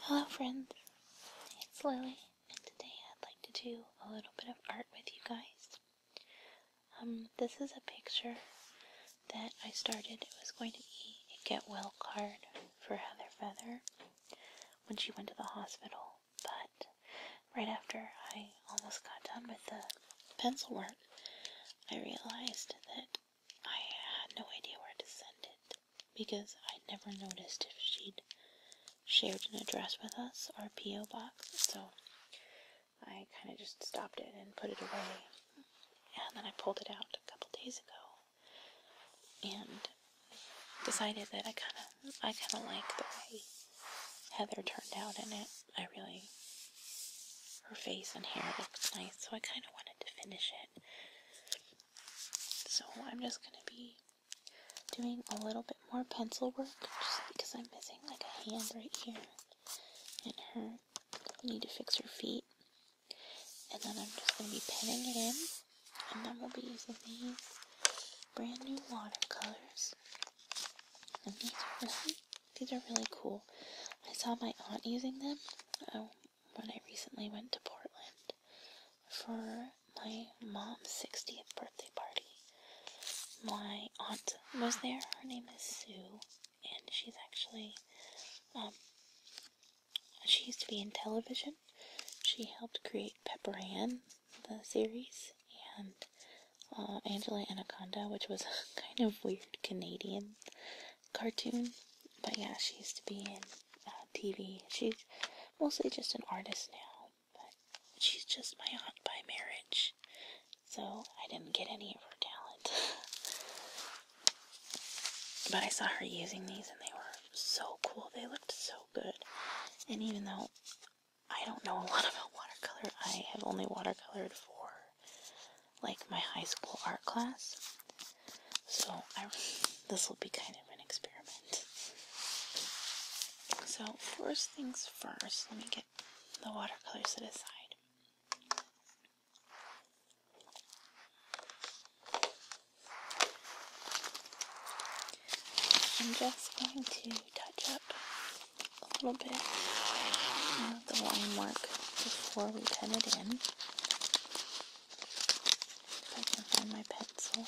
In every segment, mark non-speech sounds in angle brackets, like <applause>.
Hello friends, it's Lily and today I'd like to do a little bit of art with you guys. Um, this is a picture that I started. It was going to be a get well card for Heather Feather when she went to the hospital, but right after I almost got done with the pencil work, I realized that I had no idea where to send it because I'd never noticed if she'd shared an address with us or a P.O. box, so I kind of just stopped it and put it away. And then I pulled it out a couple days ago and decided that I kind of I kind of like the way Heather turned out in it. I really her face and hair looks nice, so I kind of wanted to finish it. So I'm just going to be doing a little bit more pencil work just because I'm missing like a hand right here and her need to fix her feet. And then I'm just going to be pinning it in and then we'll be using these brand new watercolors. And these are really, these are really cool. I saw my aunt using them. Oh, when I recently went to Portland for my mom's 60th birthday party. My aunt was there. Her name is Sue, and she's actually, um, she used to be in television. She helped create Pepper Ann, the series, and uh, Angela Anaconda, which was <laughs> a kind of weird Canadian cartoon. But yeah, she used to be in uh, TV. She's mostly just an artist now, but she's just my aunt by marriage, so I didn't get any of her talent. <laughs> but I saw her using these and they were so cool. They looked so good. And even though I don't know a lot <laughs> about watercolor, I have only watercolored for like my high school art class. So this will be kind of an experiment. So first things first, let me get the watercolors to the side. I'm just going to touch up a little bit of the line mark before we pen it in. If I can find my pencil.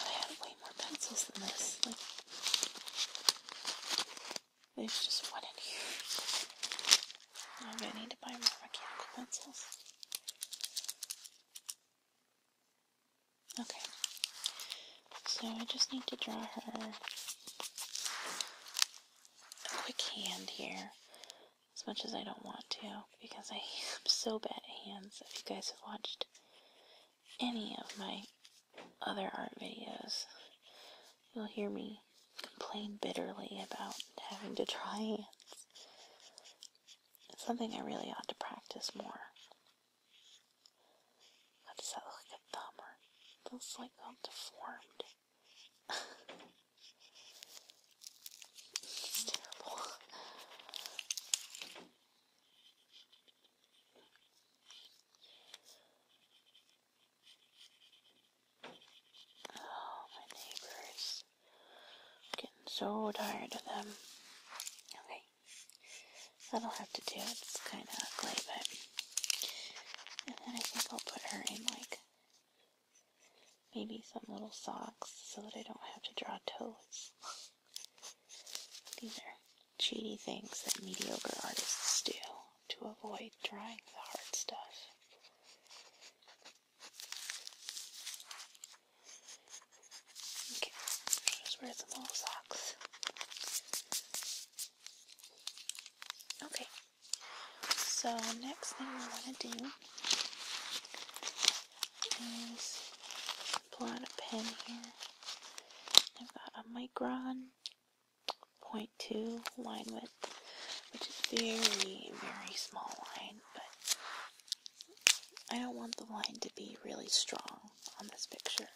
I know way more pencils than this. there's just one in here. I'm gonna need to buy more mechanical pencils. Okay. So I just need to draw her a quick hand here as much as I don't want to because I am so bad at hands. If you guys have watched any of my other art videos, you'll hear me complain bitterly about having to try hands. something I really ought to practice more. How does that look a thumb or those like all deformed? it's Oh, my neighbors. getting so tired of them. Okay. That'll have to do. It's kind of ugly, but. And then I think I'll put her in like Maybe some little socks so that I don't have to draw toes. These are cheaty things that mediocre artists do to avoid drawing the hard stuff. Okay, just wear some little socks. Okay, so next thing we want to do is pull out a pen here. I've got a micron 0.2 line width, which is very, very small line, but I don't want the line to be really strong on this picture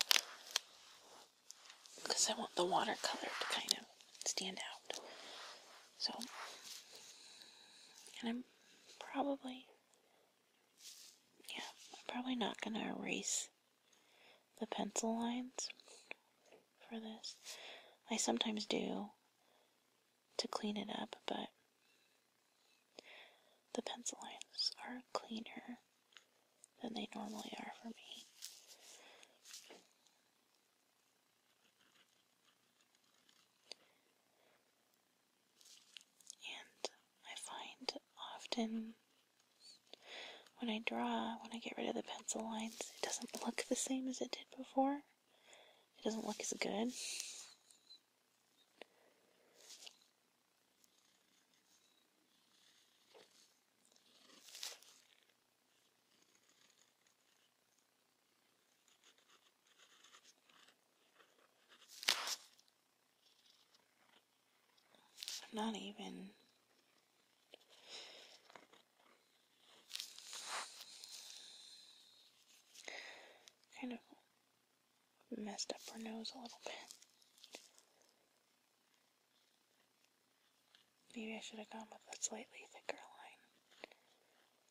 because I want the watercolor to kind of stand out. So, and I'm probably, yeah, I'm probably not going to erase the pencil lines for this. I sometimes do to clean it up, but the pencil lines are cleaner than they normally are for me. And I find often when I draw, when I get rid of the pencil lines, it doesn't look the same as it did before. It doesn't look as good. I'm not even kind of messed up her nose a little bit. Maybe I should have gone with a slightly thicker line.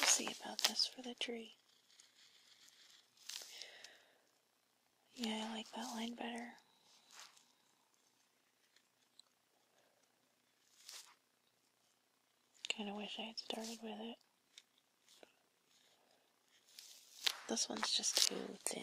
We'll see about this for the tree. Yeah, I like that line better. Kind of wish I had started with it. This one's just too thin.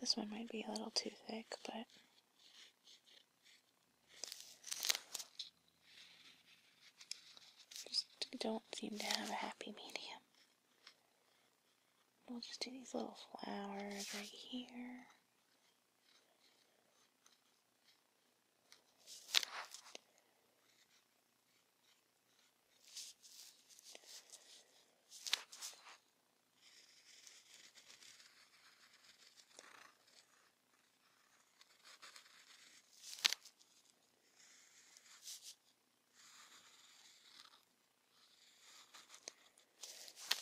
This one might be a little too thick, but just don't seem to have a happy medium. We'll just do these little flowers right here.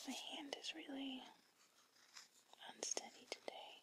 My hand is really unsteady today.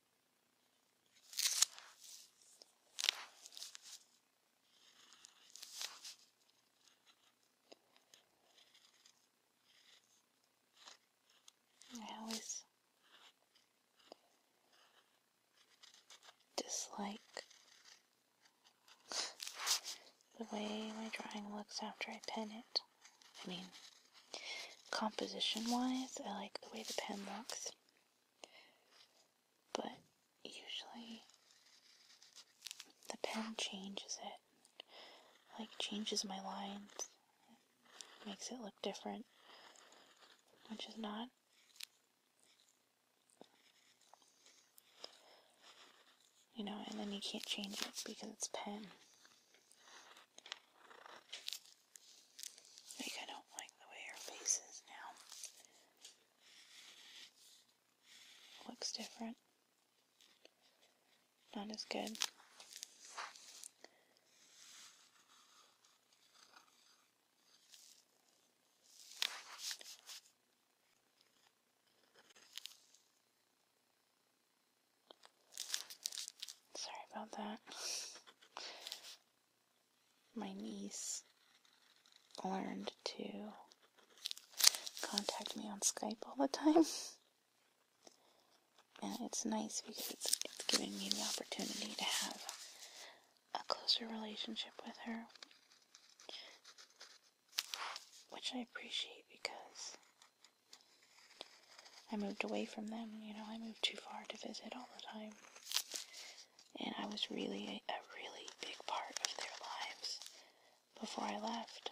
I always dislike the way my drawing looks after I pen it. I mean, composition wise, I like the way the pen looks. But usually the pen changes it, like changes my lines, makes it look different, which is not you know, and then you can't change it because it's pen. Like I don't like the way her face is now. looks different. Not as good. Sorry about that my niece learned to contact me on Skype all the time. <laughs> And it's nice because it's, giving me the opportunity to have a closer relationship with her. Which I appreciate because I moved away from them, you know, I moved too far to visit all the time and I was really a, really big part of their lives before I left.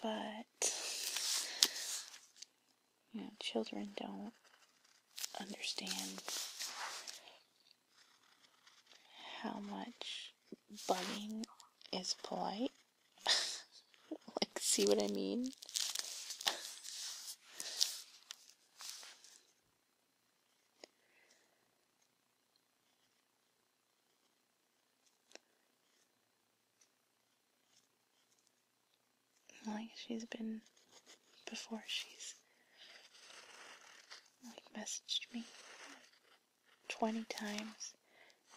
But, you know, children don't understand how much bugging is polite like, see what I mean? like she's been before she's like messaged me 20 times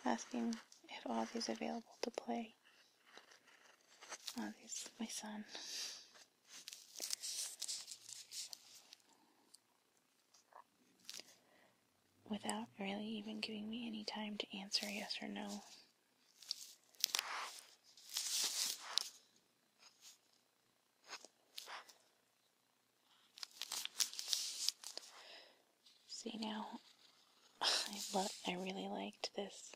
asking if Ozzy's available to play. Ozzy's my son. Without really even giving me any time to answer yes or no. See now, <sighs> I love, I really liked this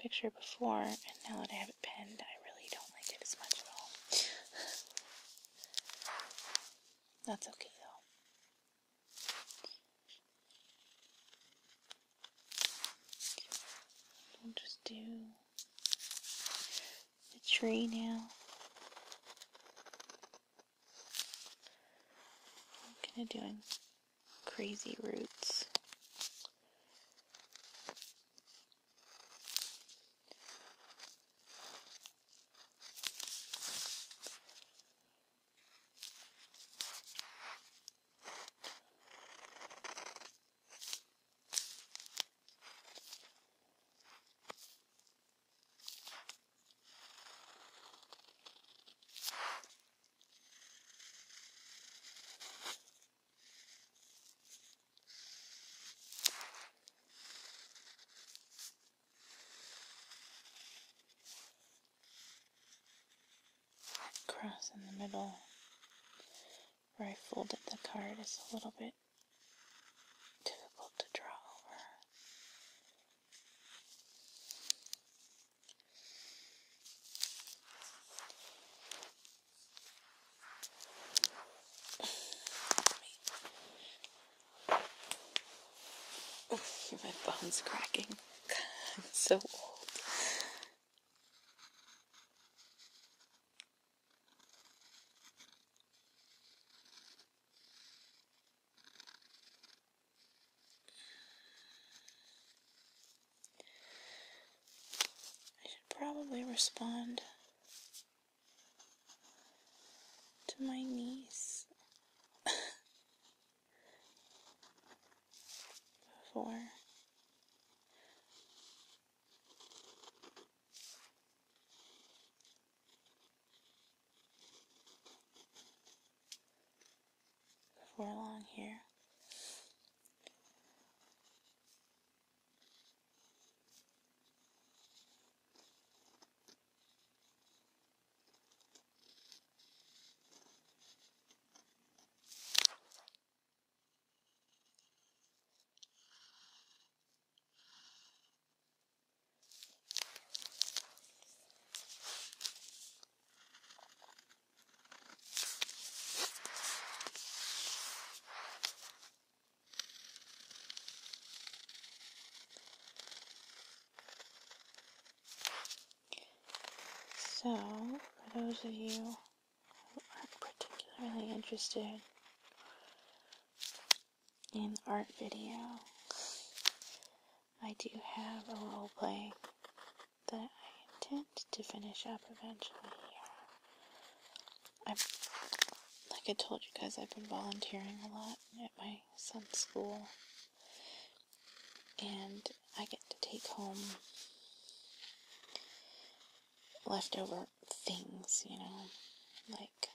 picture before, and now that I have it pinned, I really don't like it as much at all. <sighs> That's okay though. We'll just do the tree now. I'm kind of doing crazy roots. Cross in the middle where I folded the card is a little bit difficult to draw over. Oh, <laughs> my bones cracking. I'm <laughs> so old. I should probably respond to my niece <laughs> before before long here. So, for those of you who aren't particularly interested an art video. I do have a role play that I intend to finish up eventually i like I told you guys, I've been volunteering a lot at my son's school. And I get to take home leftover things, you know, like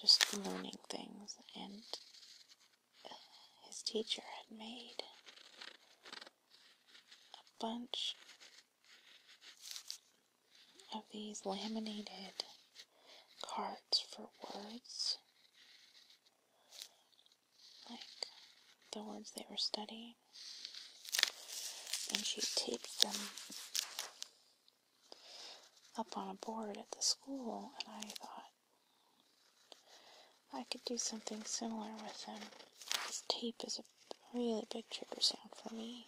just learning things, and uh, his teacher had made a bunch of these laminated cards for words, like the words they were studying, and she taped them up on a board at the school, and I thought I could do something similar with them. This tape is a really big trigger sound for me.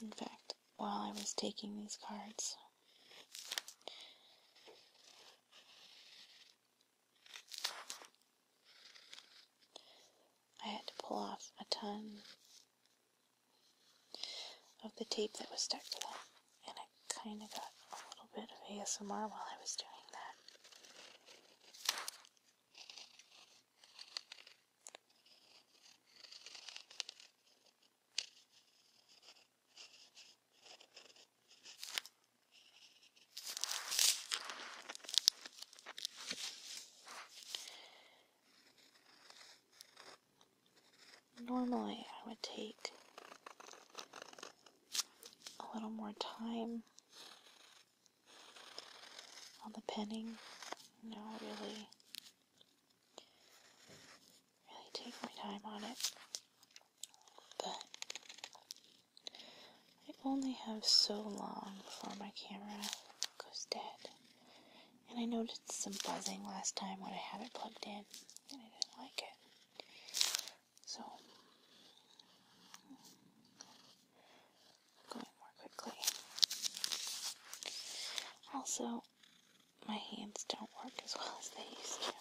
In fact, while I was taking these cards, I had to pull off a ton of the tape that was stuck to that, and I kind of got a little bit of ASMR while I was doing that. Normally, I would take a little more time on the penning. No, know, really, really take my time on it. But I only have so long before my camera goes dead. And I noticed some buzzing last time when I had it plugged in, and I didn't like it. So, going more quickly. Also, my hands don't work as well as they used to.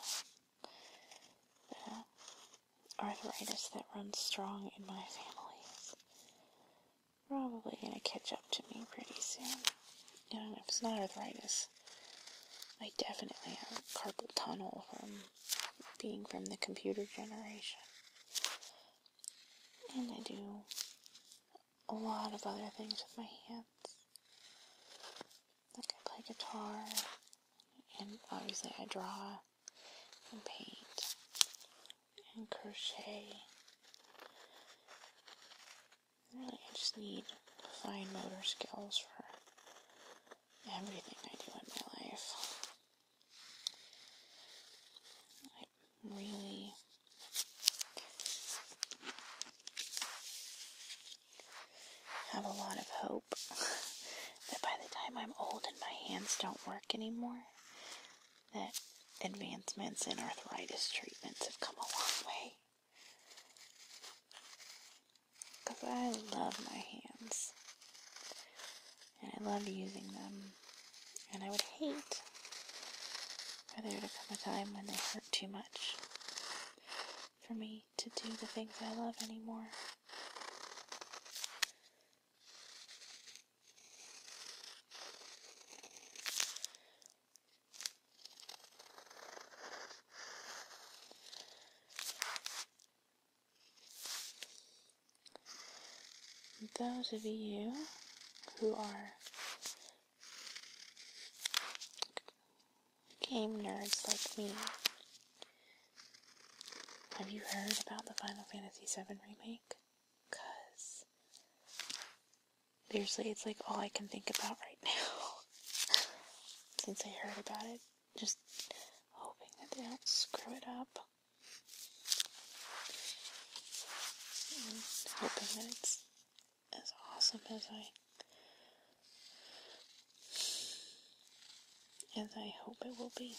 The arthritis that runs strong in my family probably going to catch up to me pretty soon. I don't know if it's not arthritis, I definitely have carpal tunnel from being from the computer generation. And I do a lot of other things with my hands. Like I play guitar, and obviously I draw and paint and crochet. Really, I just need fine motor skills for everything I do in my life. i really have a lot of hope <laughs> that by the time I'm old and my hands don't work anymore, that advancements in arthritis treatments have come a long way. Because I love my hands. And I love using them. And I would hate for there to come a time when they hurt too much for me to do the things I love anymore. Those of you who are game nerds like me, have you heard about the Final Fantasy VII Remake? because seriously, it's like all I can think about right <laughs> now since I heard about it. Just hoping that they don't screw it up. And hoping that it's as awesome as I as I hope it will be.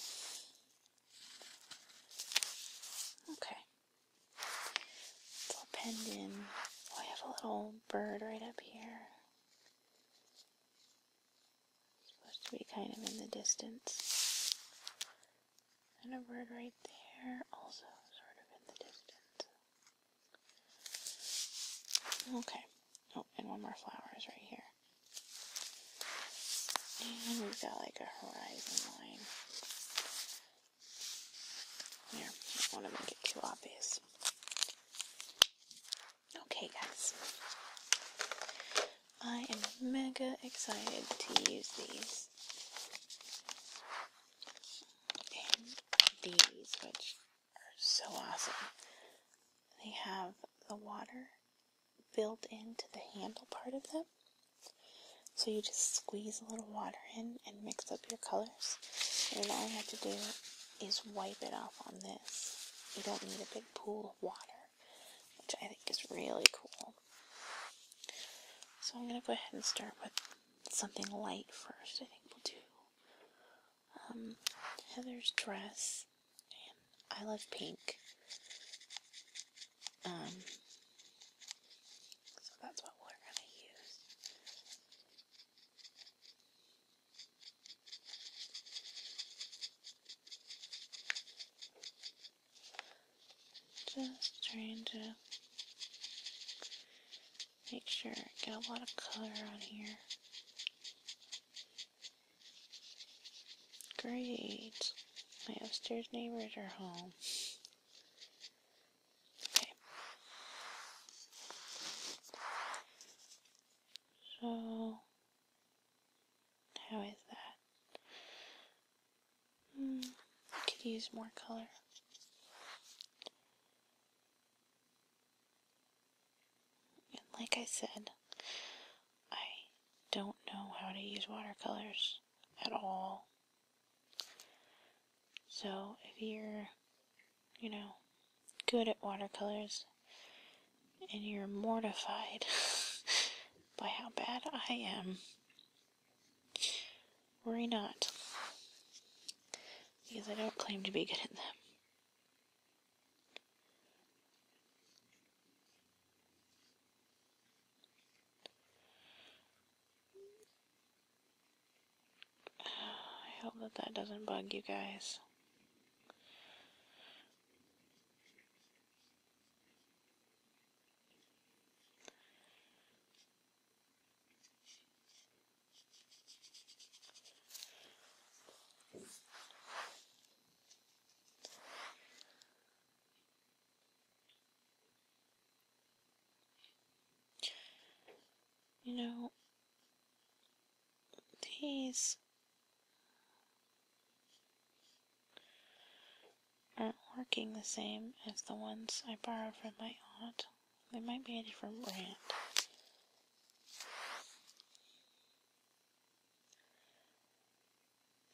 Okay. It's all penned Oh, I have a little bird right up here. supposed to be kind of in the distance. And a bird right there, also sort of in the distance. Okay. Oh, and one more flower is right here. And we've got like a horizon line. Here, I don't want to make it too obvious. Okay, guys. I am mega excited to use these. these, which are so awesome. They have the water built into the handle part of them. So you just squeeze a little water in and mix up your colors. And all you have to do is wipe it off on this. You don't need a big pool of water, which I think is really cool. So I'm going to go ahead and start with something light first. I think we'll do um, Heather's dress. I love pink. Um, so that's what we're going to use. Just trying to make sure I get a lot of color on here. Great. My upstairs neighbors are home. Okay. So, how is that? Hmm, I could use more color. And like I said, I don't know how to use watercolors at all. So if you're, you know, good at watercolors and you're mortified <laughs> by how bad I am, worry not. Because I don't claim to be good at them. I hope that that doesn't bug you guys. You know, these aren't working the same as the ones I borrowed from my aunt. They might be a different brand.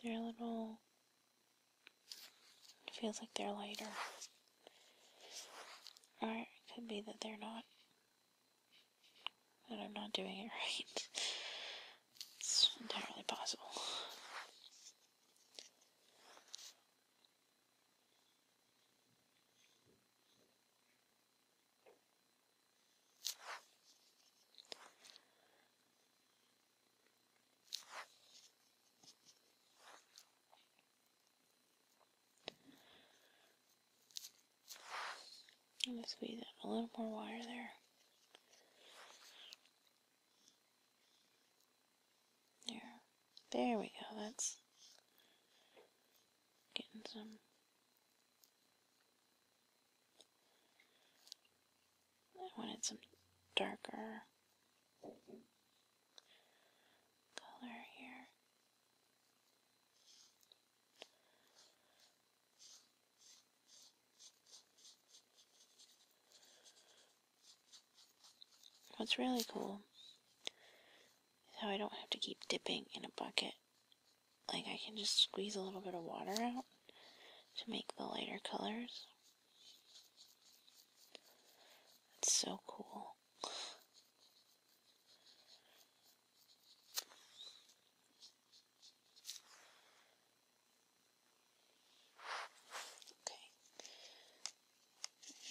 They're a little, it feels like they're lighter. Or it could be that they're not. That I'm not doing it <laughs> right. It's entirely possible. I'm squeeze out a little more water there. There. There we go. That's getting some I wanted some darker color here. What's really cool is how I don't have to keep dipping in a bucket. Like I can just squeeze a little bit of water out to make the lighter colors. That's so cool. Okay.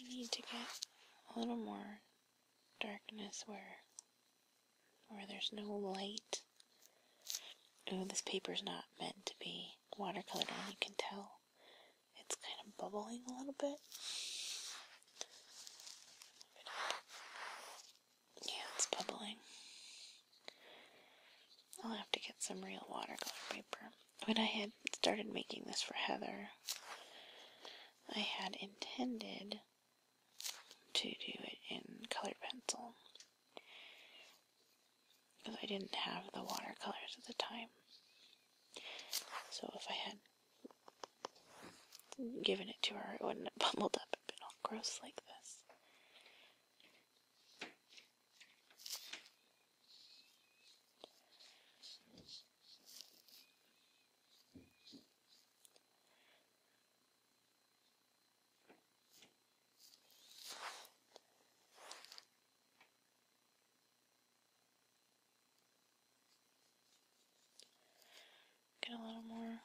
I need to get a little more darkness where where there's no light. Oh, this paper's not meant to be watercolor, you can tell it's kind of bubbling a little bit. Yeah, it's bubbling. I'll have to get some real watercolor paper. When I had started making this for Heather, I had intended to do it in colored pencil because I didn't have the watercolors at the time. So if I had given it to her, it wouldn't have <laughs> bumbled up and been all gross like this. Get a little more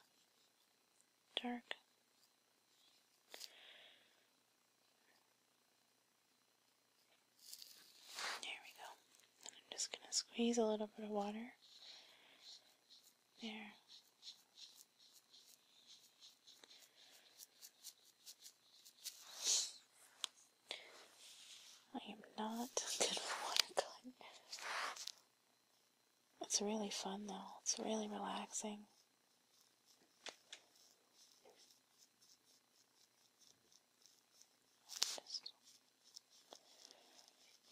dark. There we go. I'm just going to squeeze a little bit of water. There. I am not <laughs> gonna want It's really fun though. It's really relaxing.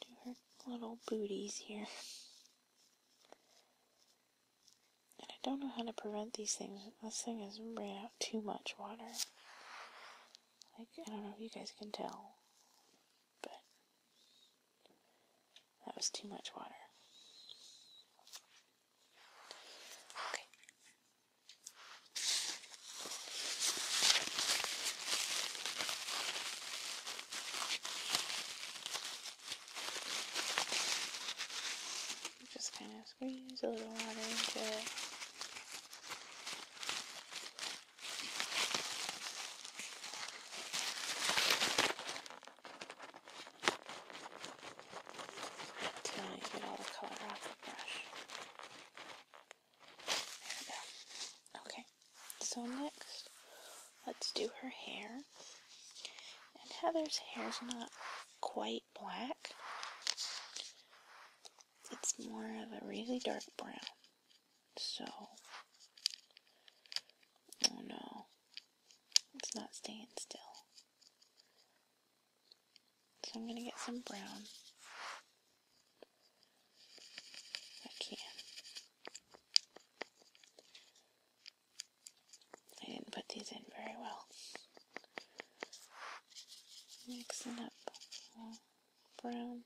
do her little booties here. And I don't know how to prevent these things. This thing has ran out too much water. Like, I don't know if you guys can tell, but that was too much water. Okay. Just kind of squeeze a little water into it. Until you get all the color off the brush. There we go. Okay, so next, let's do her hair. And Heather's hair's not quite black. It's more of a really dark brown. So, oh no, it's not staying still. So I'm going to get some brown. I can. I didn't put these in very well. Mixing up brown,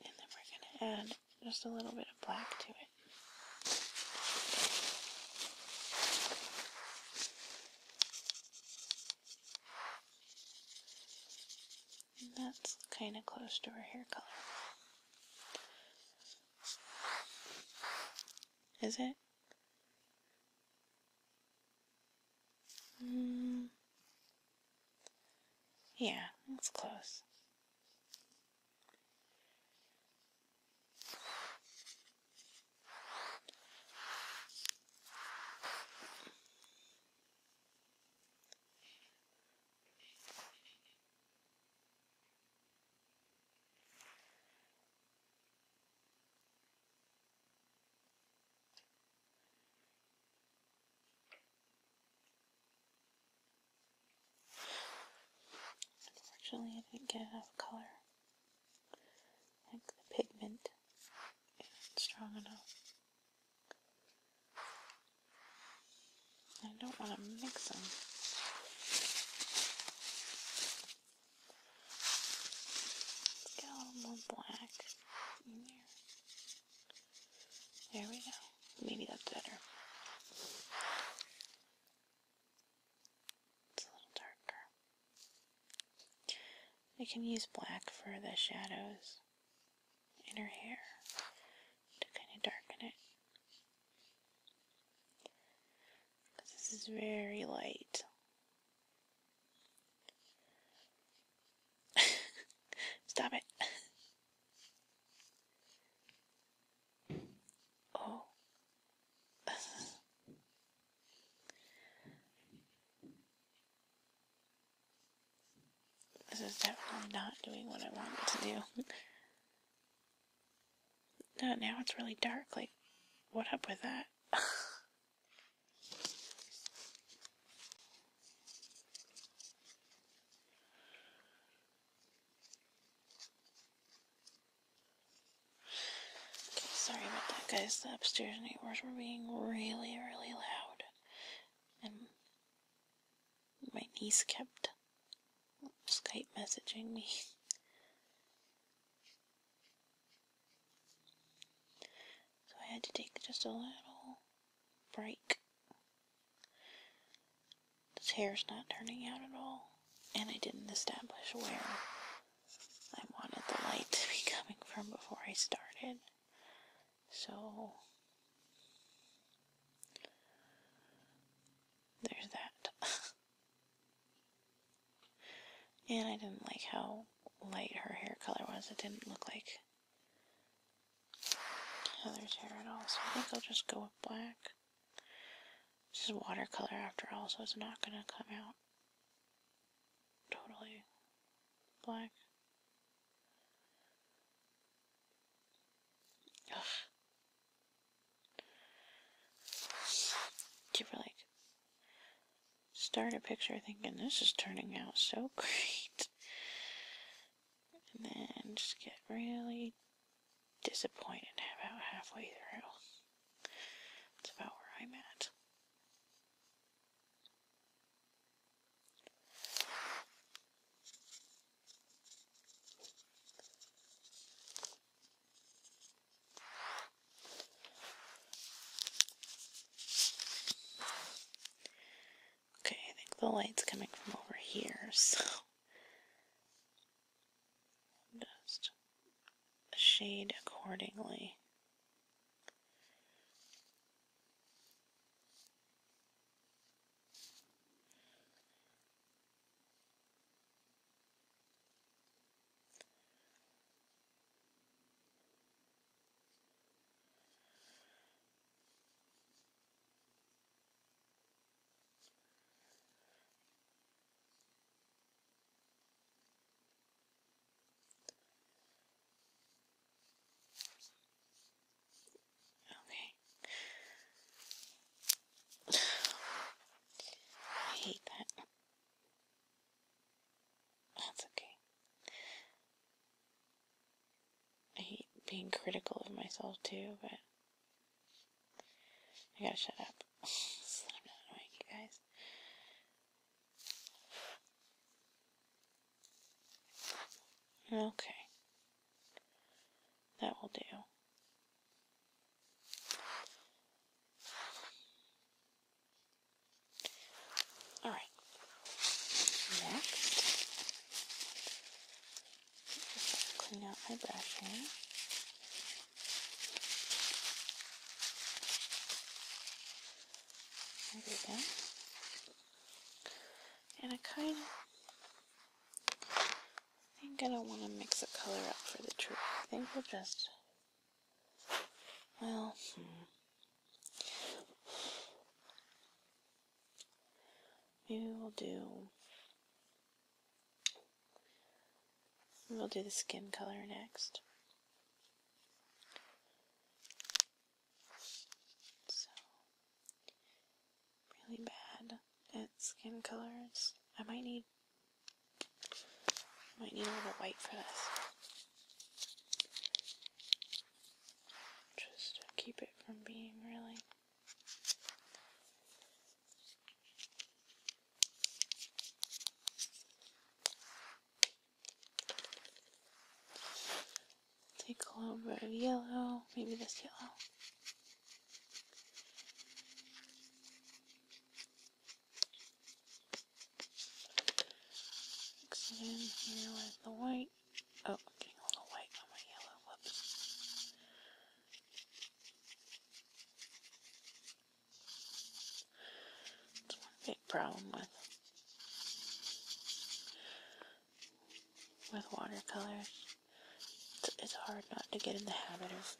and then we're going to add just a little bit of black to it. And that's kind of close to her hair color. Is it? Mm. Yeah, that's close. Unfortunately, I didn't get enough color. Like the pigment isn't strong enough. I don't want to mix them get a little more black in there. There we go. Maybe that's better. It's a little darker. I can use black for the shadows in her hair to kind of darken it. But this is very light. <laughs> Stop it. oh. this is definitely not doing what I wanted to do now it's really dark. Like, what up with that? sorry about that, guys. The upstairs neighbors were being really, really loud. And my niece kept Skype messaging me. So I had to take just a little break. This hair's not turning out at all, and I didn't establish where I wanted the light to be <laughs> coming from before I started. So there's that. <laughs> And I didn't like how light her hair color was. It didn't look like Heather's hair at all. So I think I'll just go with black. This is watercolor after all, so it's not going to come out totally black. Ugh. Give her like start a picture thinking this is turning out so <laughs> great. And then just get really disappointed about halfway through. That's about where I'm at. Okay, I think the light's coming from over here, <laughs> so just shade accordingly. Okay. <sighs> I hate that. That's okay. I hate being critical of myself too, but I gotta shut up I'm <laughs> not annoying you guys. Okay. That will do. All right. Next, just clean out my brush here. There we go. And I kind of think I don't want to mix a color up for the tree. I think we'll just well, hmm. maybe we'll do we'll do the skin color next. So really bad at skin colors. I might need might need a little white for this. Just keep it from being really Take a little bit of yellow, maybe this yellow. Mix it in here with the white. Oh, getting a little white on my yellow. Whoops. big problem with with watercolors. It's hard not to get in the habit of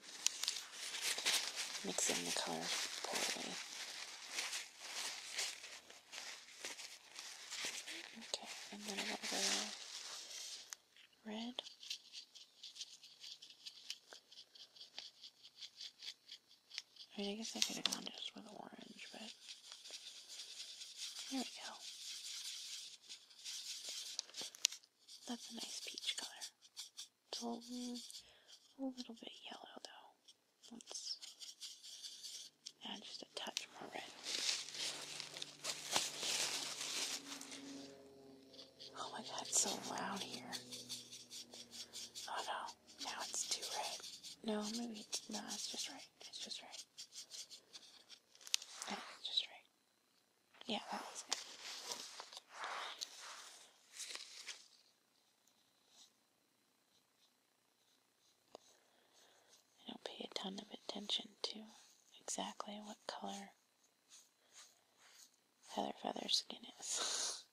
Mix in the color poorly. Okay, I'm gonna go red. I mean, I guess I could have gone just with orange, but there we go. That's a nice peach color. So, a little bit yellow though. Let's add just a touch more red. Oh my god, it's so loud here. Oh no, now it's too red. No, maybe it's no, it's just right. It's just right. No, just right. Yeah, that was it. I don't pay a ton of attention to exactly what color Heather Feather skin is,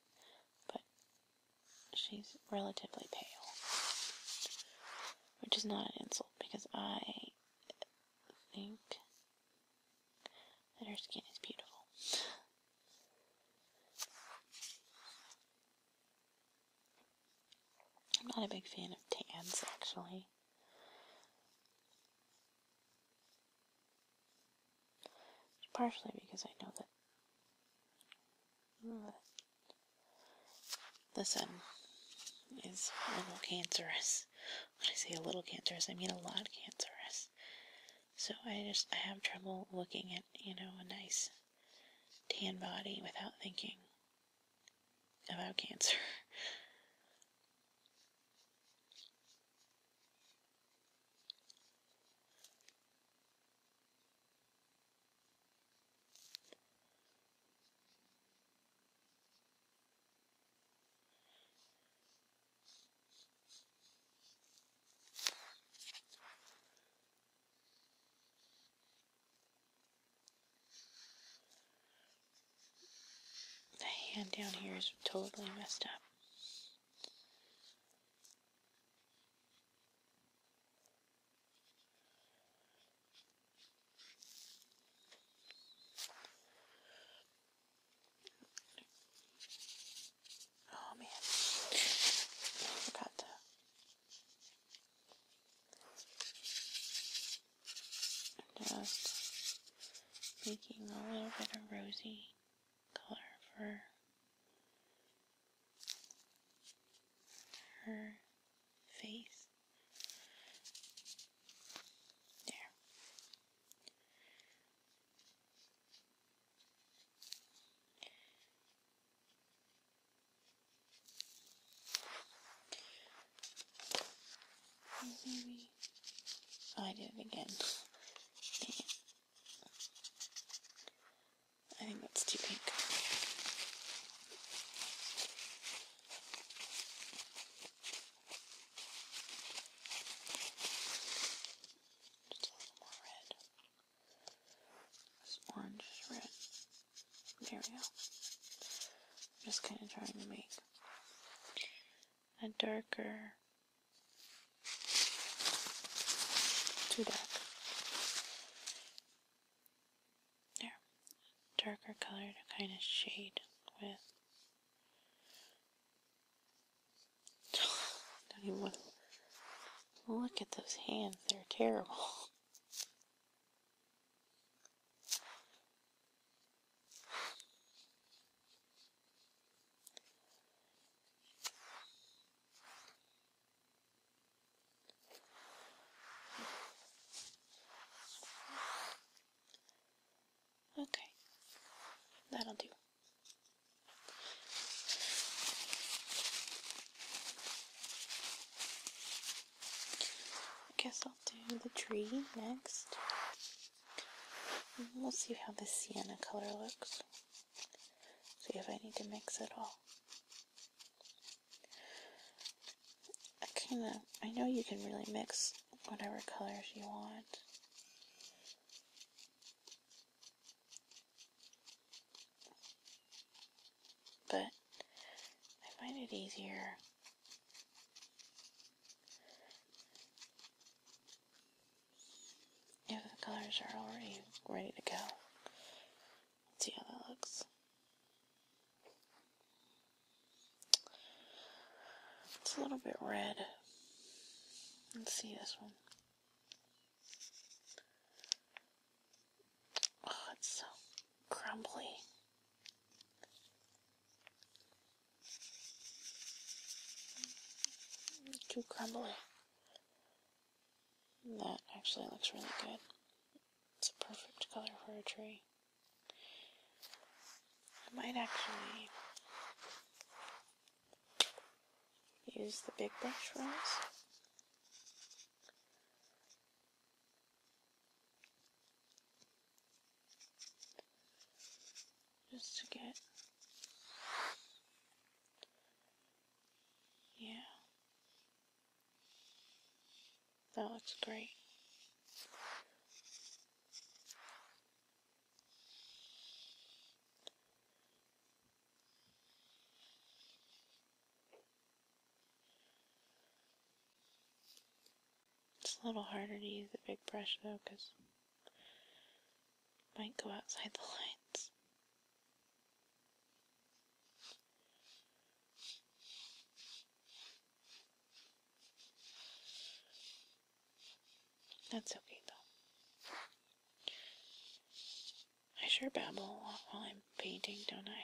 <laughs> but she's relatively pale, which is not an insult because I think that her skin is beautiful. <laughs> I'm not a big fan of tans, actually. Partially because I know that, know the sun is a little cancerous. When I say a little cancerous, I mean a lot cancerous. So I just I have trouble looking at, you know, a nice tan body without thinking about cancer. The hand down here is totally messed up. Oh man, I forgot to. am just making a little bit of rosy color for her face. There. I did it again. I think that's too pink. Just a little more red orange red. There we go. just kind of trying to make a darker, too dark. There. Darker color to kind of shade with <sighs> Don't even look at those hands. They're terrible. <sighs> Okay, that'll do. I guess I'll do the tree next. We'll see how the sienna color looks. See if I need to mix it all. I kinda, I know you can really mix whatever colors you want. But I find it easier if the colors are already ready to go. Let's see how that looks. It's a little bit red. Let's see this one. Oh, it's so crumbly. Too crumbly. That actually looks really good. It's a perfect color for a tree. I might actually Use the big brush for Just to get, yeah, that looks great. It's a little harder to use the big brush though because it might go outside the lines. That's okay though. I sure babble a lot while I'm painting, don't I?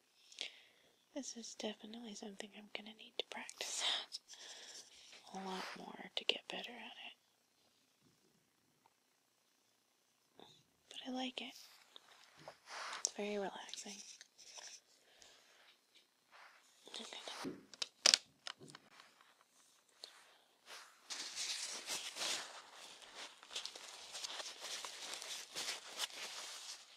This is definitely something I'm going to need to practice at a lot more to get better at it. But I like it. It's very relaxing.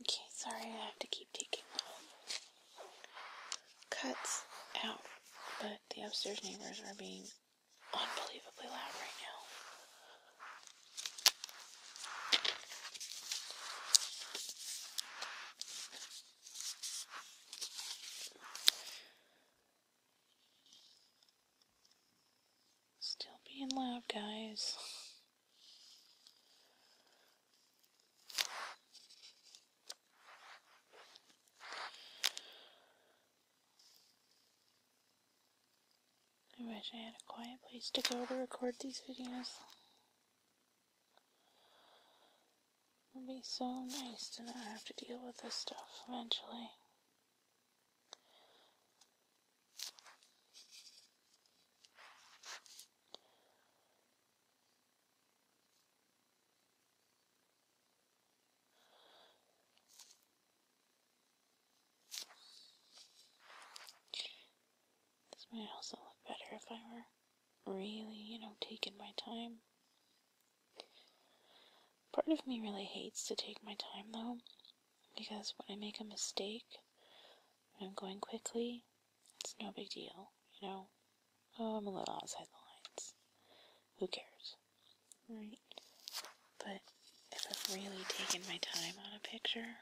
Okay, sorry I have to keep taking cuts out, but the upstairs neighbors are being unbelievably loud right now. Still being loud, guys. I wish I had a quiet place to go to record these videos. It'll be so nice to not have to deal with this stuff eventually. This might also look better if I were really, you know, taking my time. Part of me really hates to take my time though, because when I make a mistake, when I'm going quickly, it's no big deal, you know? Oh, I'm a little outside the lines. Who cares? Right? But if I've really taken my time on a picture,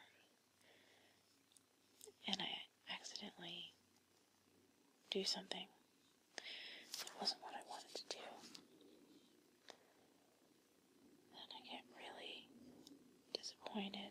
and I accidentally do something that wasn't what I wanted to do, then I get really disappointed.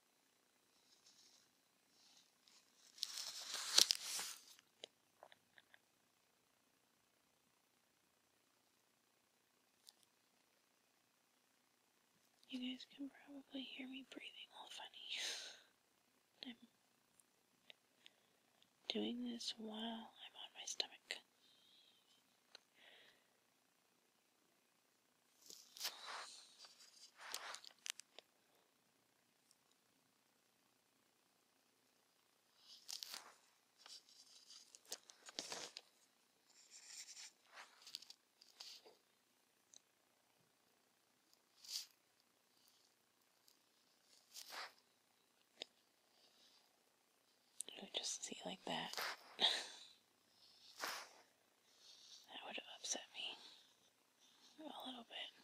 You guys can probably hear me breathing all funny. <laughs> I'm doing this while I'm on my stomach. So just see like that. <laughs> that would have upset me a little bit.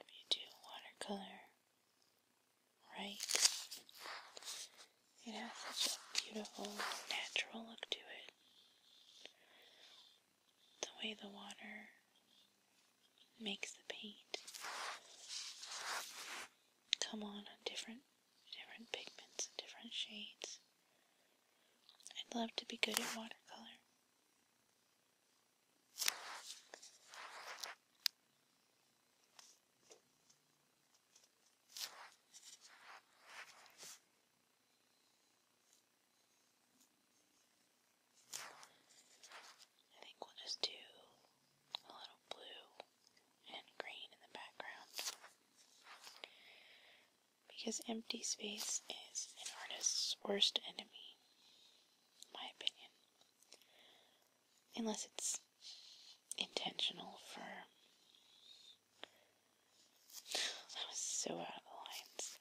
If you do watercolor right, it has such a beautiful, natural look to it. The way the water makes the paint come on on different different pigments and different shades I'd love to be good at watercolor. I think we'll just do a little blue and green in the background because empty space is an artist's worst enemy, in my opinion. Unless it's intentional for. That was so out of the lines.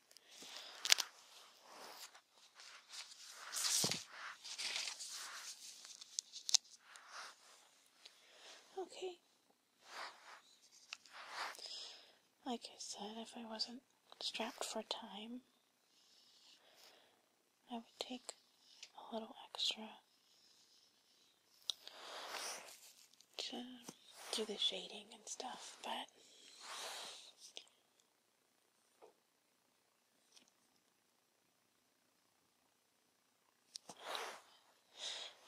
Okay, like I said, if I wasn't strapped for time, I would take a little extra to do the shading and stuff, but All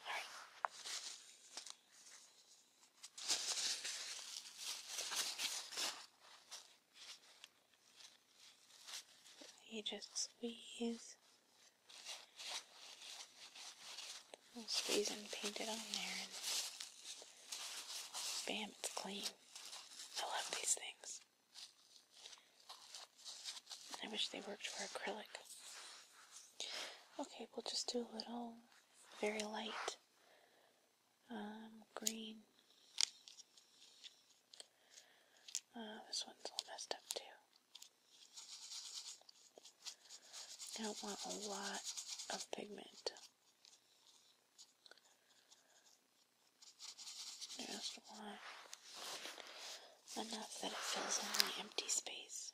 right. You just squeeze. squeeze and paint it on there and bam, it's clean. I love these things. I wish they worked for acrylic. Okay, we'll just do a little very light um, green. Uh, this one's all messed up too. I don't want a lot of pigment. Just want enough that it fills in the empty space.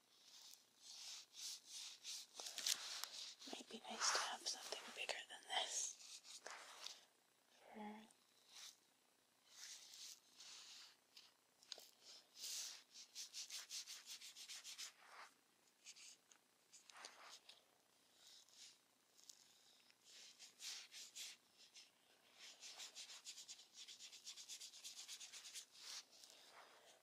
Might be nice to have something bigger than this for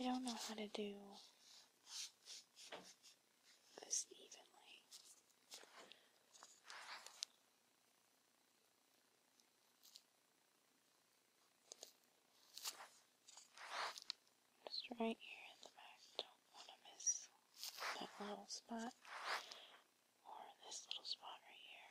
I don't know how to do this evenly. Just right here in the back, don't want to miss that little spot or this little spot right here.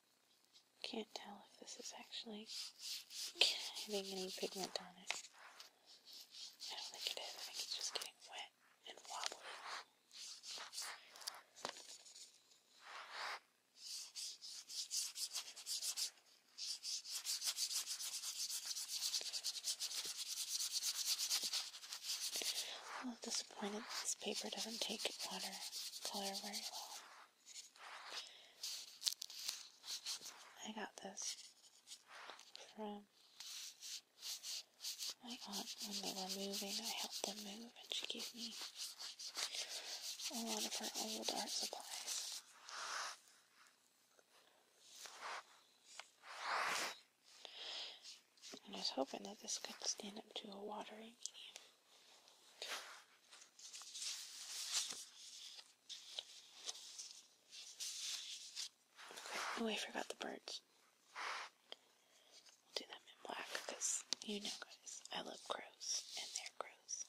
Can't tell if this is actually getting any pigment on it. I don't think it is. I think it's just getting wet and wobbly. i a little disappointed this paper doesn't take water color very well. I got this from my aunt when they were moving. I helped them move and she gave me a lot of her old art supplies. And I was hoping that this could stand up to a watering medium. Oh, I forgot the birds. i do them in black because you know, guys, I love crows and their crows.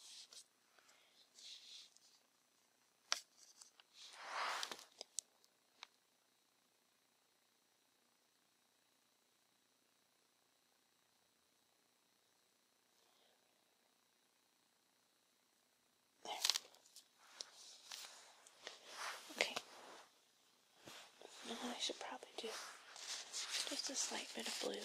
Okay. Now I should probably do just a slight bit of blue. In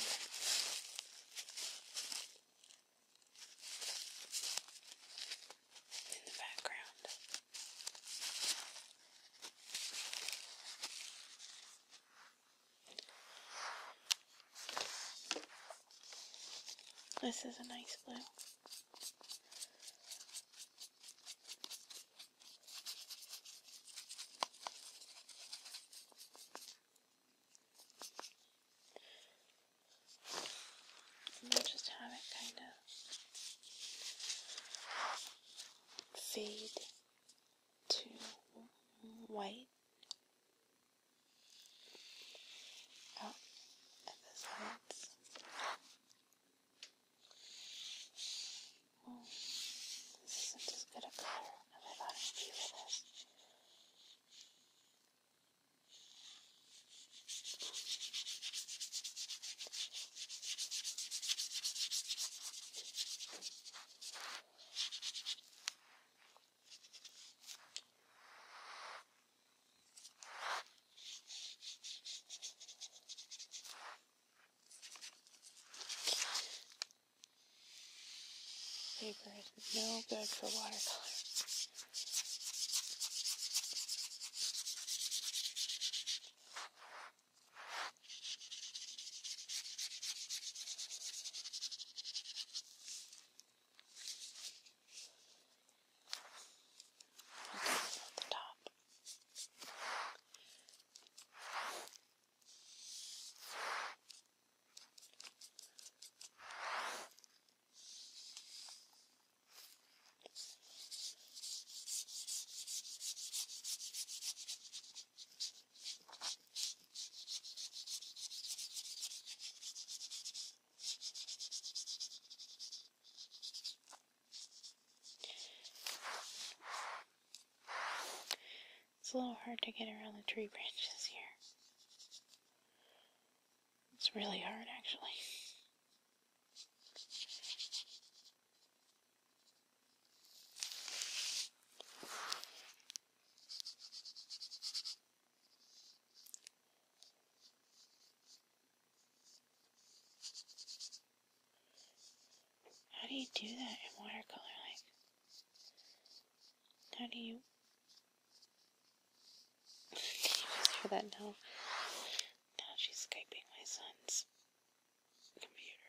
the background. This is a nice blue. just have it kind of fade to white Oh, at the sides. Oh, this isn't as good a color as I thought it'd be with this. Paper is no good for watercolor the top. It's a little hard to get around the tree branches here. It's really hard actually. How do you do that in watercolor? Like, how do you? Can you for that now? Now she's skyping my son's computer.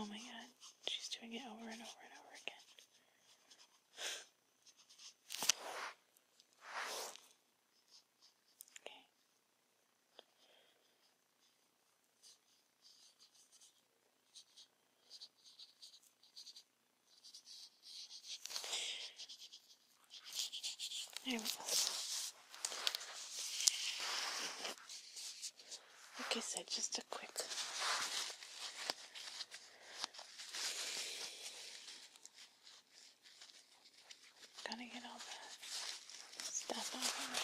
Oh my god, she's doing it over and over and over again. Okay. There we go like I said, just a quick gotta get all the stuff out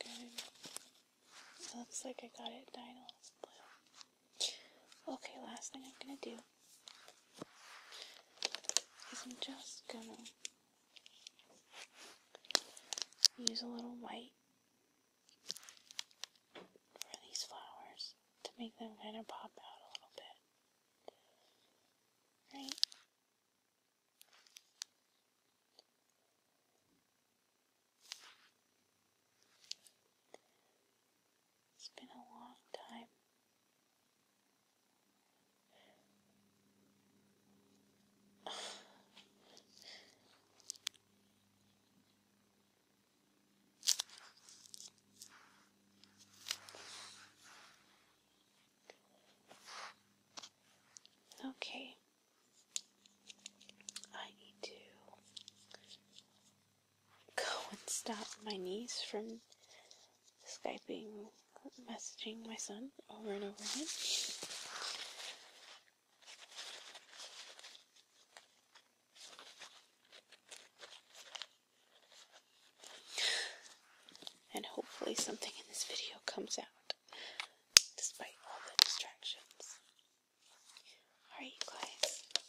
Good. looks like I got it dyed all blue. Okay, last thing I'm gonna do is I'm just gonna use a little white for these flowers to make them kind of pop out a little bit. Right? It's been a long time. okay. I need to go and stop my niece from Skyping, messaging my son over and over again. And hopefully, something in this video comes out despite all the distractions. Alright, you guys,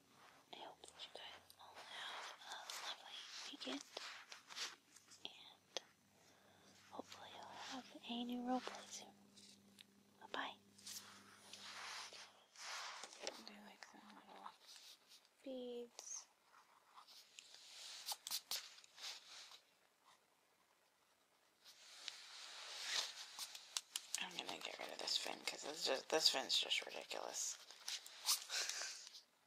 I hope you guys all have a lovely weekend, and hopefully you'll have a new roleplay soon. Bye-bye. do like the little I'm gonna get rid of this fin because this fin's just ridiculous. <laughs>